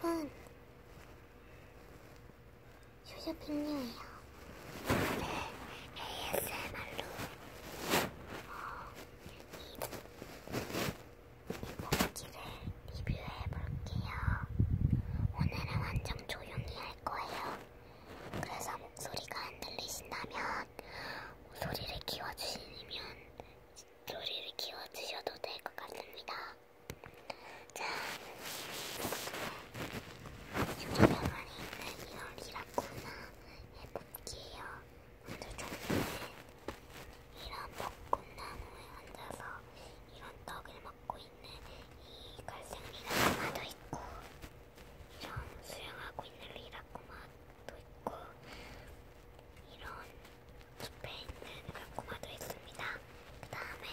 여러분, 쇼쇼핑류예요. 네, ASMR로 어, 이 뽑기를 리뷰해볼게요. 오늘은 완전 조용히 할 거예요. 그래서 목소리가 안 들리신다면 소리를 키워주시면 소리를 키워주셔도 될 것 같습니다. 자, 여기 안에 있는 이런 리라쿠나 해볼게요. 먼저 종류는 이런 벚꽃나무에 앉아서 이런 떡을 먹고 있는 이 갈색 리라쿠마도 있고 이런 수영하고 있는 리라쿠마 도 있고 이런 숲에 있는 라고마도 있습니다. 그 다음에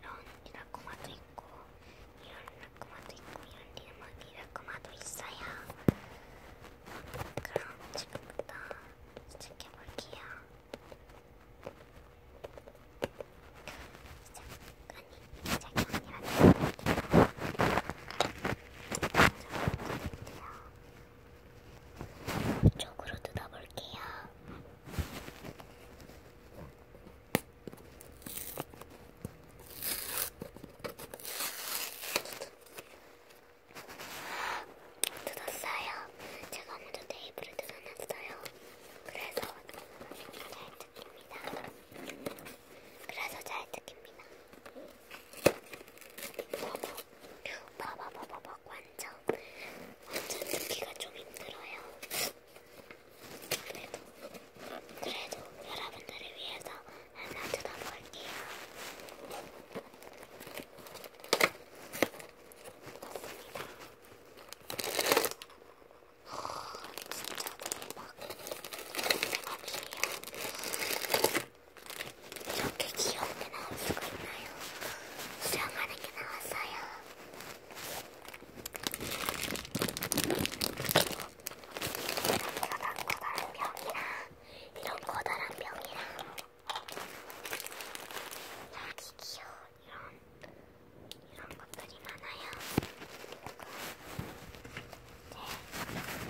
이런 라고마도 있고 이런 라고마도 있고 이런 리마기 라고마도 있어요. 그럼 지금부터 시작해볼게요. 시작. 아니, 시작이 아니라 이쪽으로 뜯어볼게요. 뜯었어요. 제가 먼저 테이블을 뜯어놨어요. 그래서 듣습니다. 그래서 잘 듣깁니다. 봐봐, 봐봐, 봐봐, 봐 완전, 완전 듣기가 좀 힘들어요. 그래도, 그래도 여러분들을 위해서 하나 뜯어볼게요. 뜯었습니다. 진짜 대박. 대박이에요. 이렇게 귀여운 게 나올 수가 있나요? 수영하는 게 나왔어요. 이런 커다란 병이랑, 이런 커다란 병이랑. 여기 귀여워. 이런 이런 것들이 많아요.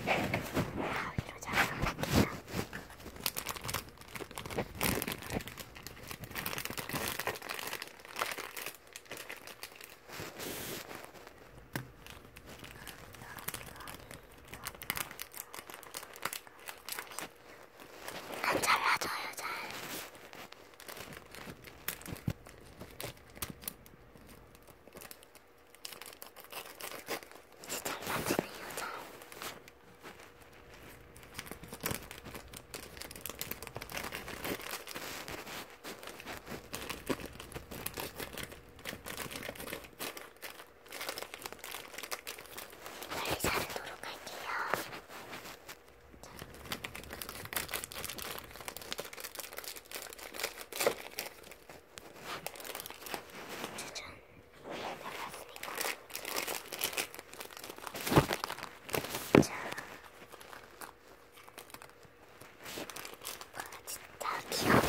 이제 가위로 잘라볼게요. 안 잘라줘요, 잘. 잘 네, 자르도록 할게요. 짜잔 내려왔으니까 자 와, 진짜 귀여워요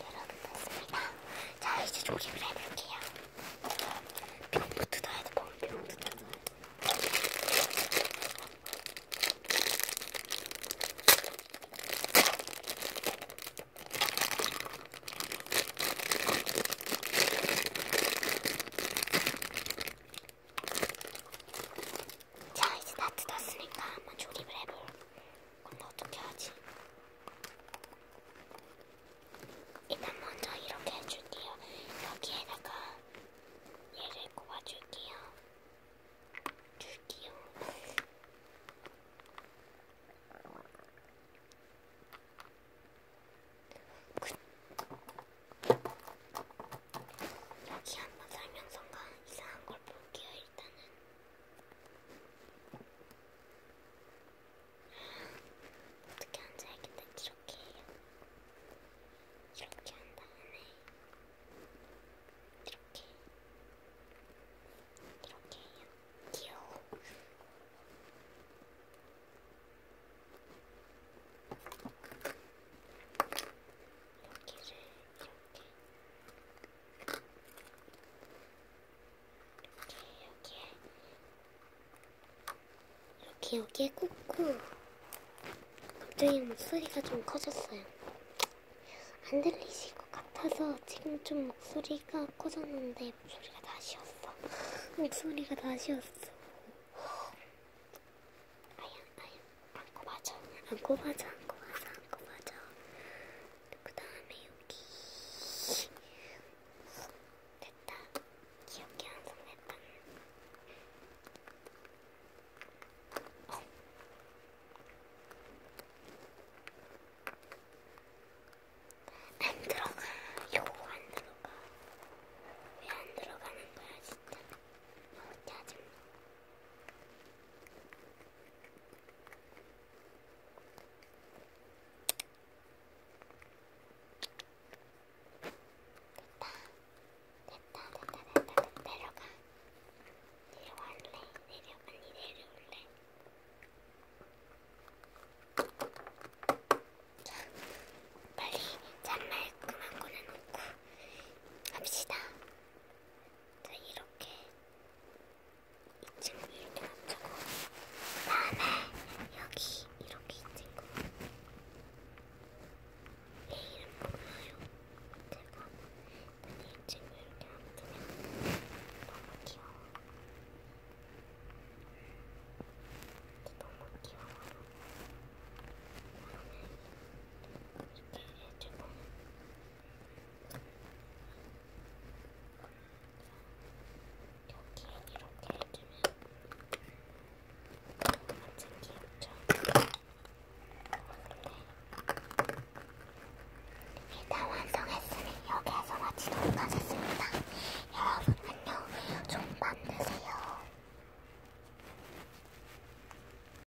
여러분 됐습니다. 자 이제 조립을 해볼게요. 병부 뜯어야 돼. 병부 뜯어야 돼. 자 이제 다 뜯었으니까 한번 조립을 해볼 그럼 어떻게 하지? 일단 먼저 이렇게 해줄게요. 여기에다가 얘를 꼽아줄게요. 줄게요. 그, 여기 한번 살면서가 이상한 걸 볼게요. 일단은 어떻게 앉아야겠다 이렇게 해요. 이렇게 한 다음에 이렇게 이렇게 해요. 귀여워. 이렇게를 이렇게 이렇게 여기에 이렇게 여기에 꽂고 갑자기 목소리가 좀 커졌어요. 안 들리실 것 같아서 지금 좀 목소리가 커졌는데 목소리가 다시 왔어. 목소리가 다시 왔어. 아야 아야 안고 맞아 안고 맞아 안고 맞아 안고 맞아 그 다음에 여기 됐다. 귀엽게 완성됐다. 어. 안 들어가. 요거 안 들어가. 왜안 들어가는 거야 진짜. 너무 어, 짜증나. 됐다 됐다 됐다 내려가 내려갈래 내려 빨리 내려올래 자 빨리 잔말 그만 꺼내놓고 갑시다 자, 네, 이렇게 2층 이렇게 맞추고 그 다음에 여기 이렇게 이 친구 얘 이름 몰라요 제가 근데 이 친구 이렇게 맞추면 너무 귀여워 너무 귀여워 이렇게 해주고 이렇게 해주면 완전 귀엽죠? 일단 완성했으니 여기에서 마치도록 하겠습니다. 여러분 안녕, 좀 만드세요.